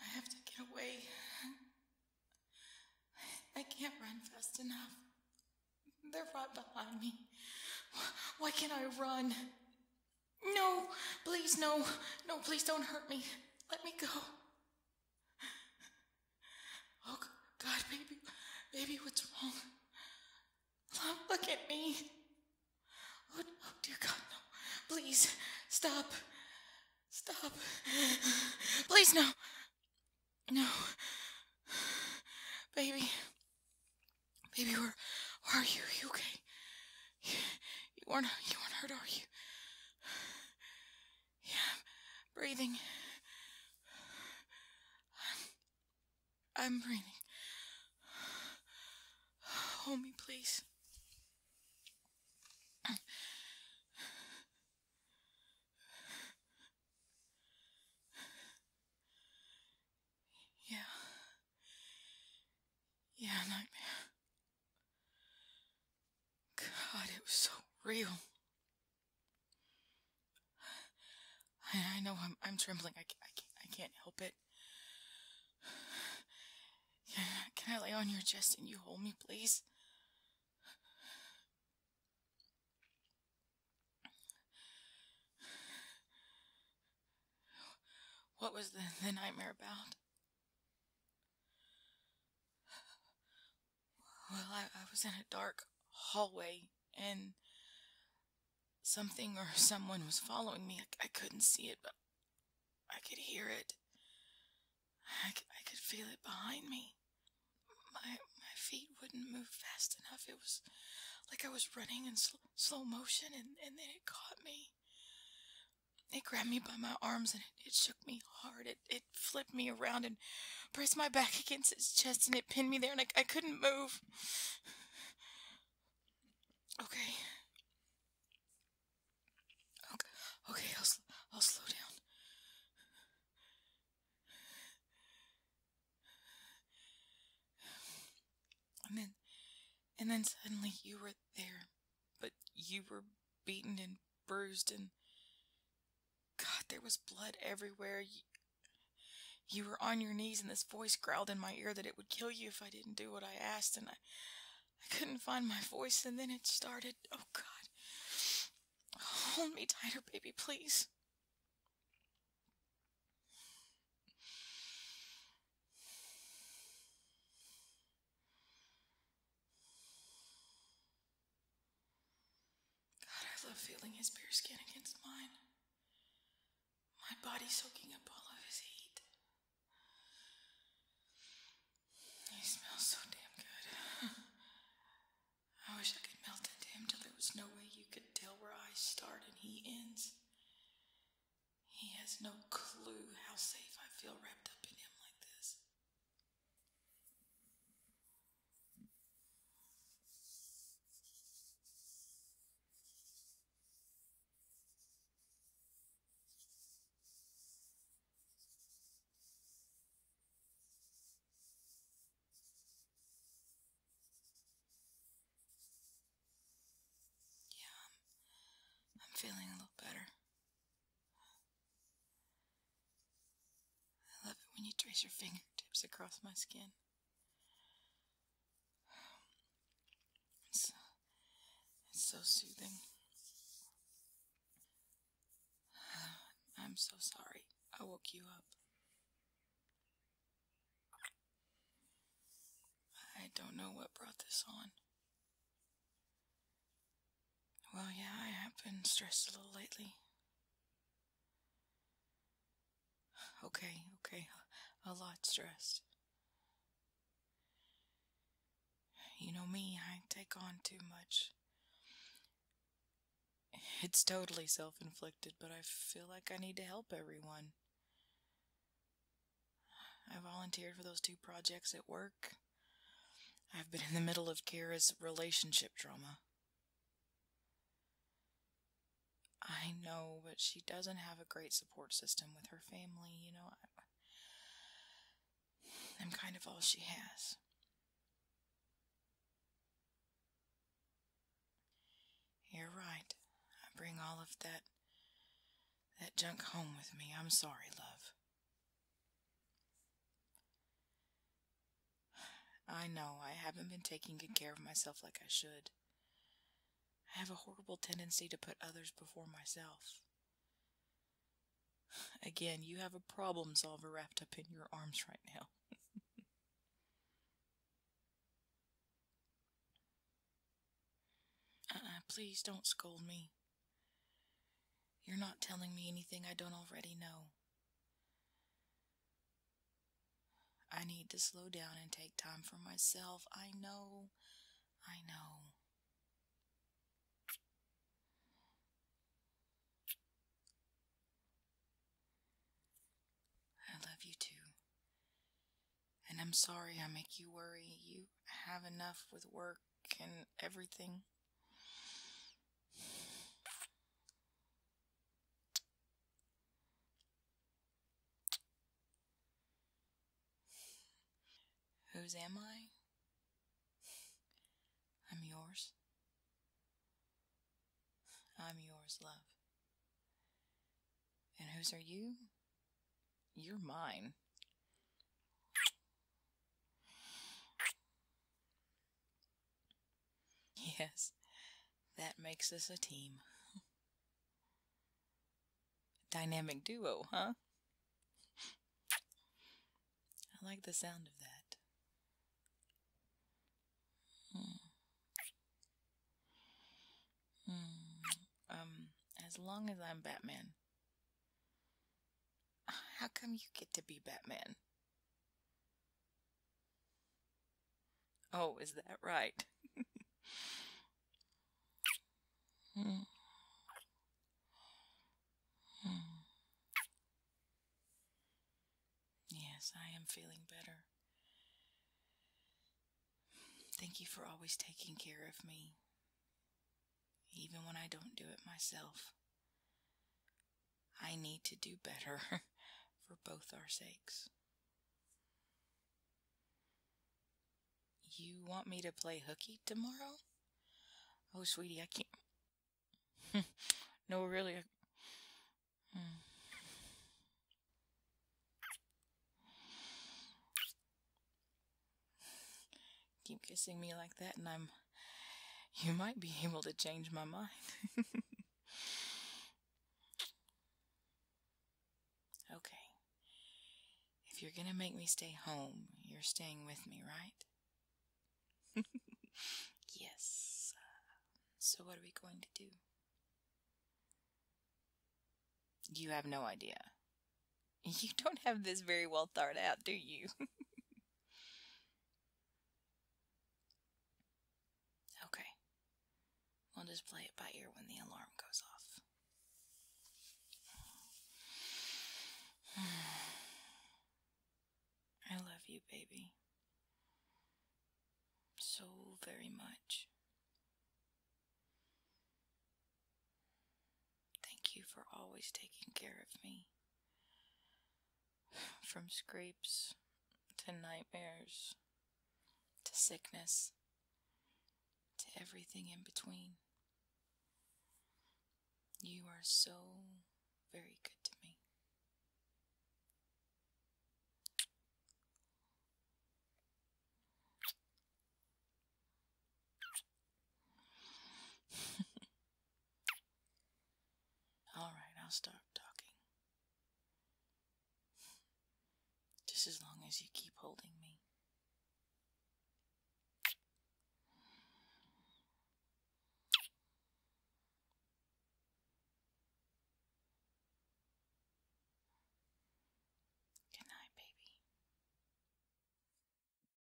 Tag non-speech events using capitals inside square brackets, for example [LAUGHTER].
I have to get away. I can't run fast enough. They're right behind me. Why can't I run? No, please, no. No, please don't hurt me. Let me go. Oh, God, baby. Baby, what's wrong? Mom, look at me. Oh, dear God, no. Please, stop. Stop. Please, no. No. Baby. Baby, where, are you? Are you okay? You, you not you weren't hurt, are you? Yeah, breathing. I'm breathing. Hold me, please. Yeah. Yeah, nightmare. God, it was so real. I, know I'm, trembling. I, I, can't, help it. Can, can I lay on your chest and you hold me, please? What was the, the nightmare about? Well, I, I was in a dark hallway and something or [LAUGHS] someone was following me. I, couldn't see it, but I could hear it. I, I could feel it behind me. My, my feet wouldn't move fast enough. It was like I was running in slow motion, and, and then it caught me. It grabbed me by my arms and it, it shook me hard. It, it flipped me around and pressed my back against its chest, and it pinned me there, and I, couldn't move. Okay. Okay, okay I'll, I'll slow down. And then, and then suddenly you were there, but you were beaten and bruised and God, there was blood everywhere. You, you were on your knees, and this voice growled in my ear that it would kill you if I didn't do what I asked, and I, I couldn't find my voice, and then it started. Oh, God. Hold me tighter, baby, please. God, I love feeling his bare skin against mine. My body soaking up all of his heat. He smells so damn good. [LAUGHS] I wish I could melt into him till there was no way you could tell where I start and he ends. He has no clue how safe I feel wrapped up in him like this. Yeah, I'm, I'm feeling a little better. I love it when you trace your fingertips across my skin. It's, so soothing. I'm so sorry I woke you up. I don't know what brought this on. Well, yeah, I have been stressed a little lately. Okay, okay, a lot stressed. You know me, I take on too much. It's totally self inflicted, but I feel like I need to help everyone. I volunteered for those two projects at work. I've been in the middle of Kara's relationship drama. I know, but she doesn't have a great support system with her family, you know. I'm kind of all she has. You're right. I bring all of that that junk home with me. I'm sorry, love. I know I haven't been taking good care of myself like I should. I have a horrible tendency to put others before myself. Again, you have a problem solver wrapped up in your arms right now. [LAUGHS] Uh-uh, please don't scold me. You're not telling me anything I don't already know. I need to slow down and take time for myself. I know. I know. I love you too. And I'm sorry I make you worry. You have enough with work and everything. Whose am I? I'm yours. I'm yours, love. And whose are you? You're mine. Yes, that makes us a team. Dynamic duo, huh? I like the sound of that. Hmm. Hmm. Um, as long as I'm Batman. How come you get to be Batman? Oh, is that right? Yes, I am feeling better. Thank you for always taking care of me, even when I don't do it myself. I need to do better [LAUGHS] for both our sakes. You want me to play hooky tomorrow? Oh, sweetie, I can't. [LAUGHS] no, really. Hmm. Keep kissing me like that, and I'm. You might be able to change my mind. [LAUGHS] okay. If you're gonna make me stay home, you're staying with me, right? [LAUGHS] yes. So, what are we going to do? You have no idea. [LAUGHS] You don't have this very well thought out, do you? Okay. We'll just play it by ear when the alarm goes off. [SIGHS] I love you, baby. So very much. Thank you for always taking care of me. [SIGHS] From scrapes to nightmares to sickness to everything in between. You are so very good to me. [LAUGHS] All right, I'll stop talking. Just as long as you keep holding me. Good night, baby.